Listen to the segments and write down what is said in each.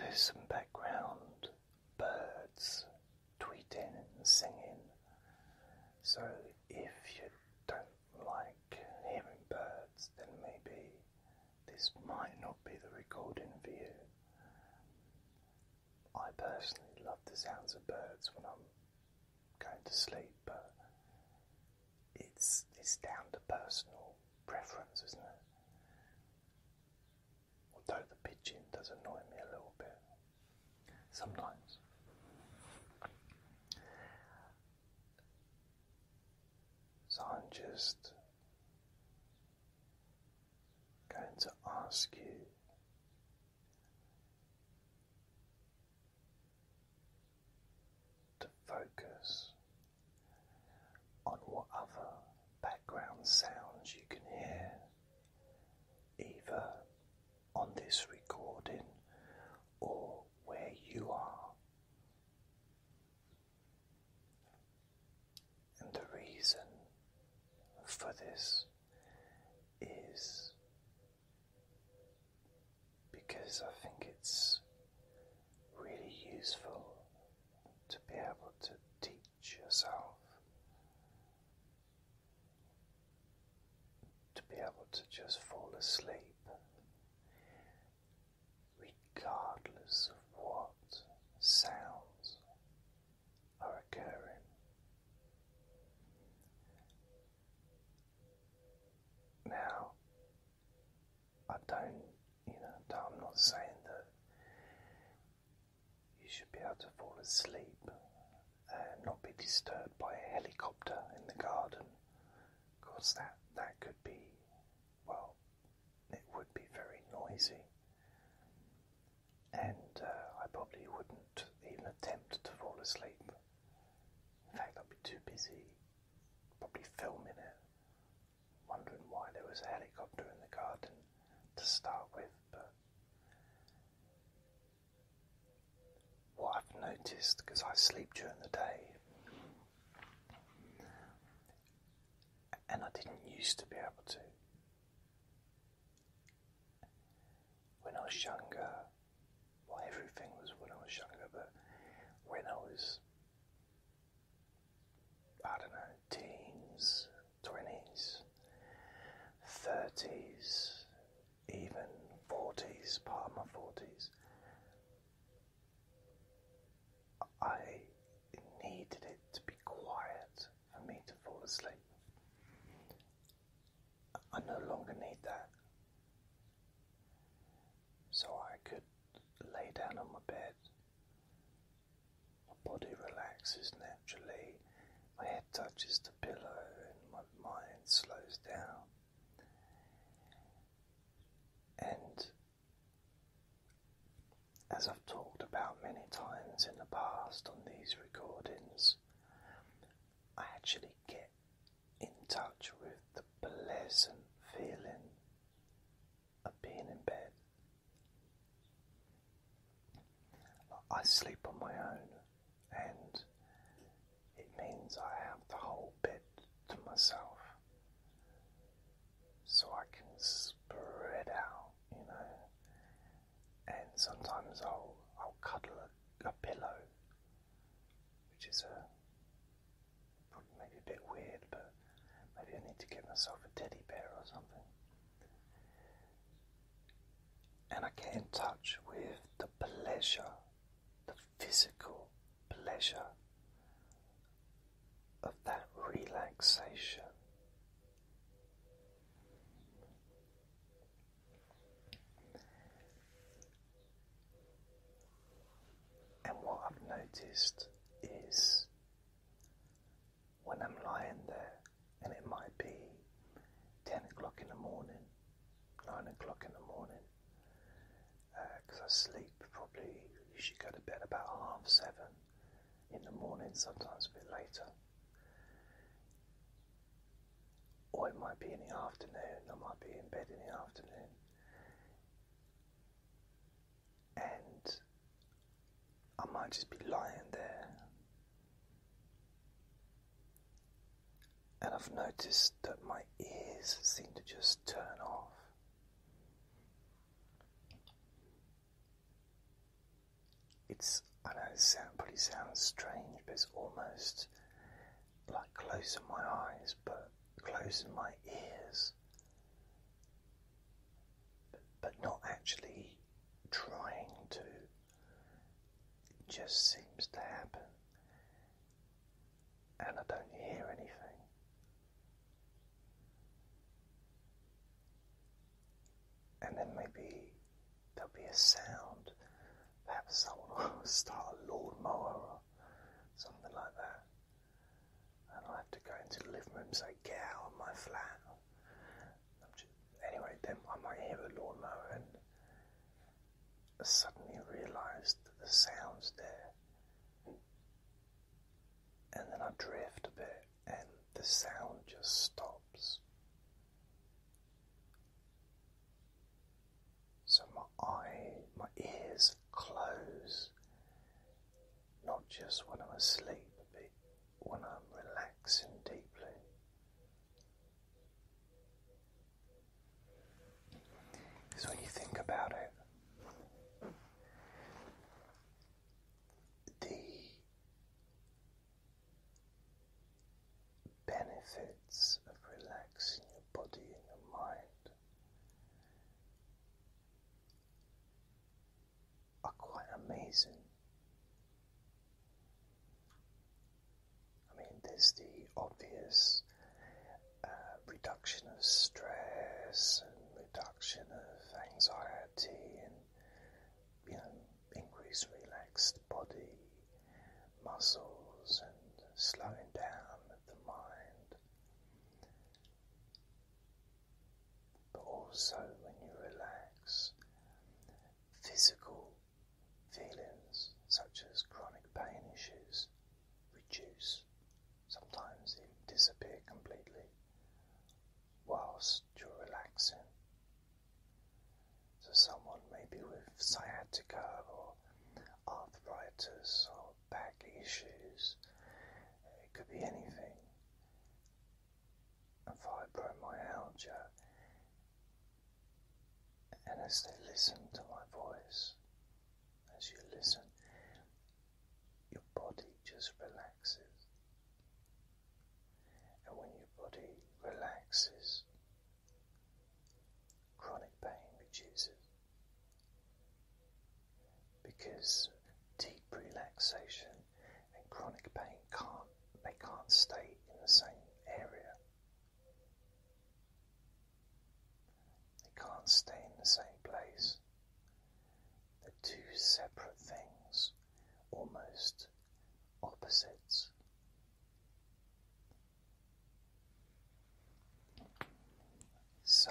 There's some background birds tweeting and singing. So if you don't like hearing birds, then maybe this might not be the recording for you. I personally love the sounds of birds when I'm going to sleep, but it's it's down to personal preference, isn't it? Although the pigeon does annoy me a little bit sometimes. So I'm just going to ask you to focus on what other background sounds you can hear, either on this recording or where you are. And the reason for this is because I think it's really useful to be able to teach yourself, to be able to just fall asleep, regardless of what sounds are occurring. Now, I don't, you know, I'm not saying that you should be able to fall asleep and not be disturbed by a helicopter in the garden. because that, that could be, well, it would be very noisy. And uh, I probably wouldn't even attempt to fall asleep. In fact, I'd be too busy probably filming it wondering why there was a helicopter in the garden to start with, but what I've noticed, because I sleep during the day, and I didn't used to be able to. When I was younger, well, everything was when I was younger, but when I was I don't know, teens, 20s, 30s, even 40s, part of my 40s, I needed it to be quiet for me to fall asleep. I no longer need that. So I could lay down on my bed. My body relaxes naturally, my head touches the pillow, and my mind slows down. And as I've talked about many times in the past on these recordings, I actually get in touch with the pleasant feeling of being in bed. I sleep on my own, and it means I have the whole bed to myself, so I can spread out, you know. And sometimes I'll I'll cuddle a, a pillow, which is a maybe a bit weird, but maybe I need to get myself a teddy bear or something. And I get in touch with the pleasure, the physical pleasure of that relaxation. And what I've noticed is when I'm lying there, and it might be 10 o'clock in the morning, 9 o'clock in the morning, because uh, I sleep probably, you should go to bed about half 7 in the morning, sometimes a bit later. Or it might be in the afternoon, I might be in bed in the afternoon and I might just be lying there. And I've noticed that my ears seem to just turn off. It's, I know it probably sounds strange, but it's almost like closing my eyes but closing my ears, but not actually trying to. just seems to happen, and I don't hear anything. And then maybe there'll be a sound Perhaps someone will start a lawnmower or something like that. And I'll have to go into the living room and say, get out of my flat. anyway, then I might hear a lawnmower and suddenly realised that the sound's there. And then I drift a bit and the sound just stops. So my eye, my ears close, not just when I'm asleep, but when I'm relaxing deeply. Because when you think about it, the benefits of relaxing your body and your mind are quite amazing. I mean, there's the obvious uh, reduction of stress and reduction of anxiety and you know, increased relaxed body muscles and slowing down the mind. But also, when you relax, physical feelings such as chronic pain issues reduce, sometimes even disappear completely whilst you're relaxing. So someone maybe with sciatica or arthritis or back issues, it could be anything. fibromyalgia. And as they listen to my voice, as you listen, your body just relaxes. And when your body relaxes, chronic pain reduces because deep relaxation and chronic pain can't they can't stay in the same area. They can't stay in the same place. They're two separate things, almost opposites. So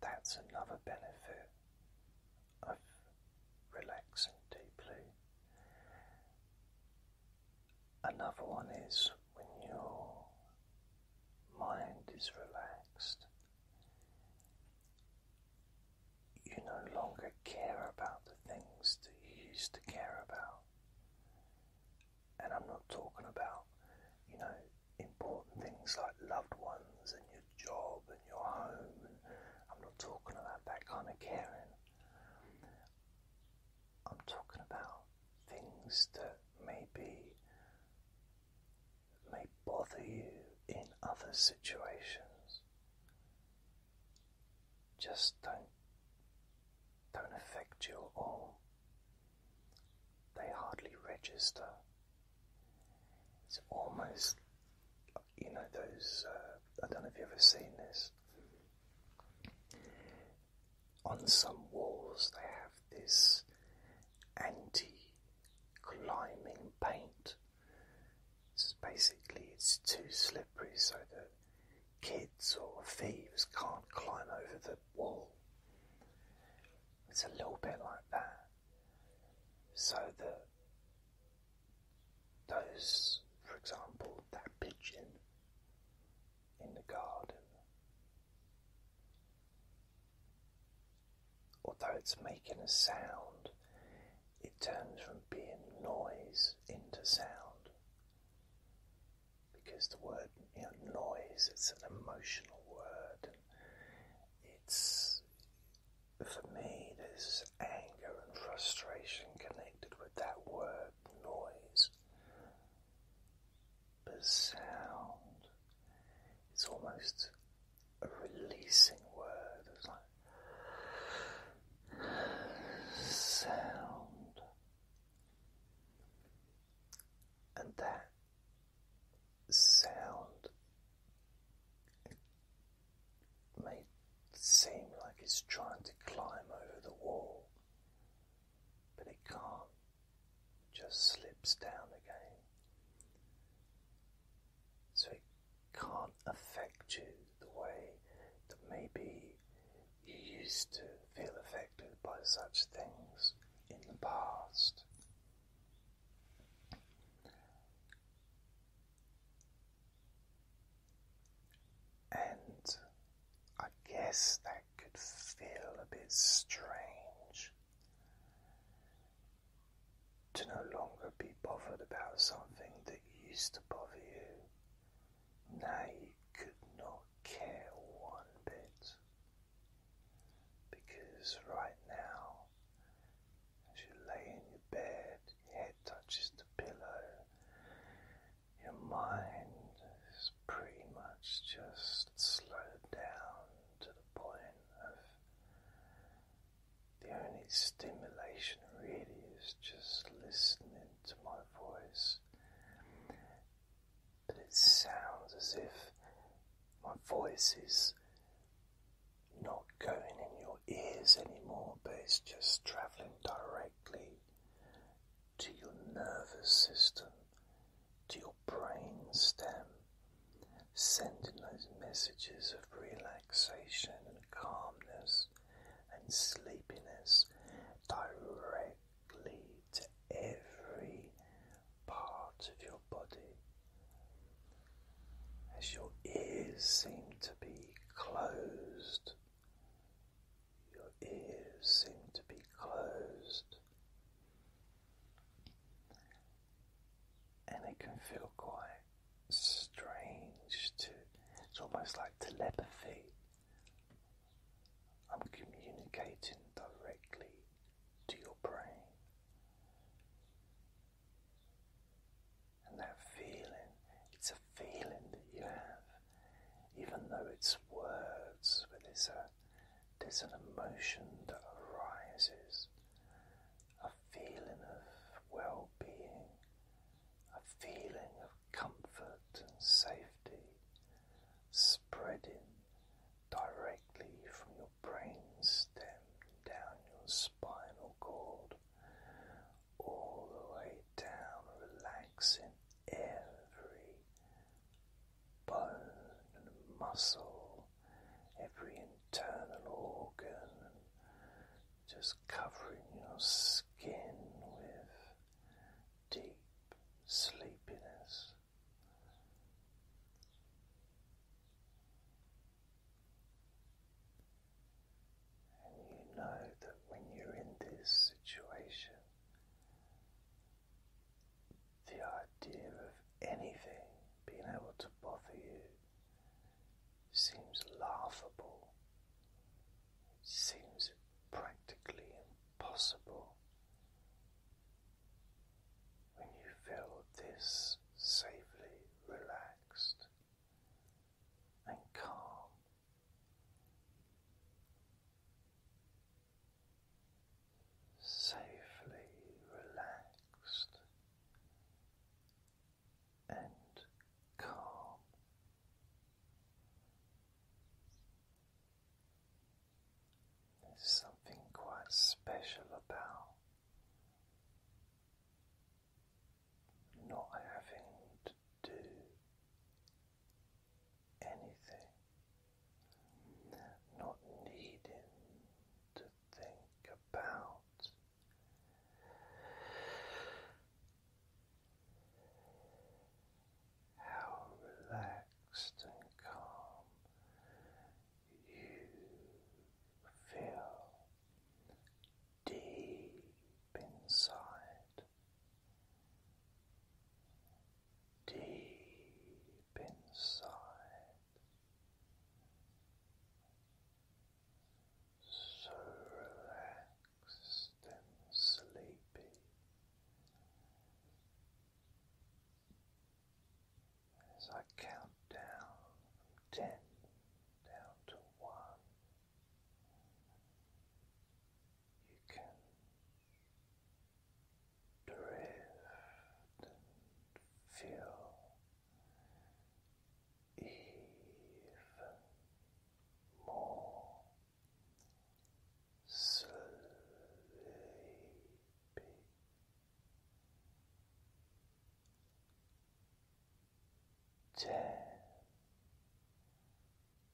that's another benefit of relaxing deeply. Another one is when your mind is relaxed, you no longer care about the things that you used to care about. And I'm not talking about, you know, important things like loved ones and your job and your home. And I'm not talking about that kind of caring. I'm talking about things that maybe may bother you in other situations just don't don't affect you at all. They hardly register. It's almost you know those uh, I don't know if you've ever seen this. On some walls they have this anti climbing paint so basically, it's too slippery so that kids or thieves can't climb over the wall. It's a little bit like that, so that those, for example, that pigeon in the garden, although it's making a sound, it turns from being noise into sound because the word noise it's an emotional word it's for me there's anger and frustration connected with that word noise but sound it's almost a releasing word sound, and that sound may seem like it's trying to climb over the wall, but it can't, just slips down again. So can't affect you the way that maybe you used to feel affected by such things in the past. And I guess that could feel a bit strange to no longer be bothered about something that that used to bother you, now you could not care one bit. Because right now, as you lay in your bed, your head touches the pillow, your mind is pretty much just slowed down to the point of the only stimulation really is just listening to my voice. But it sounds as if my voice is not going in your ears anymore, but it's just travelling directly to your nervous system, to your brain stem, sending those messages of relaxation and calmness and sleepiness directly to every part of your body as your ears seem to be closed. Your ears seem to be closed, and it can feel quite quite strange to it's almost like telepathy. I'm communicating directly to your brain. And that feeling, it's a feeling that you have, even though it's words, but there's a there's an emotion that arises a feeling of well being, a feeling of comfort and safety spreading directly from your brain down your spinal cord all the way down, relaxing every bone and muscle, every internal organ just covering your skin with deep sleepiness. And you know that when you're in this situation, the idea of anything being able to bother you seems laughable, seems practically impossible when you feel this safely relaxed and calm. Safely relaxed and calm. There's something quite special about not having to do anything, not needing to think about how relaxed and calm you feel deep inside, deep inside so relaxed and sleepy. As I count down from ten down to one, you can drift and feel even more sleepy. Ten,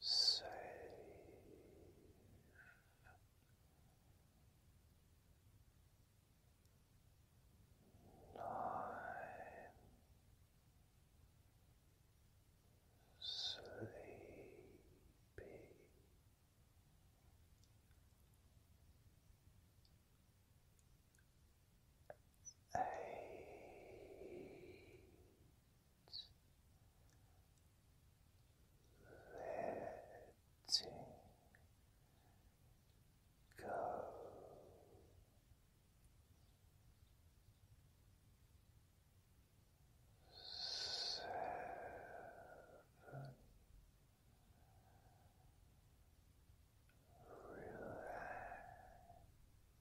safe, nine, sleepy. Eight, let letting go. Seven.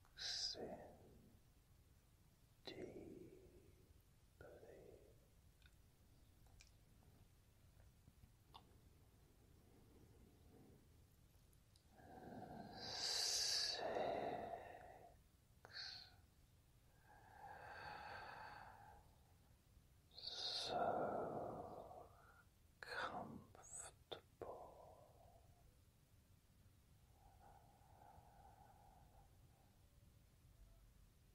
Relaxing deeply Six. So comfortable.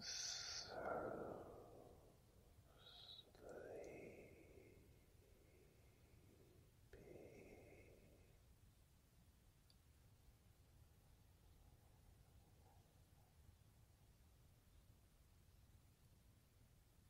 So sleepy. Sleepy.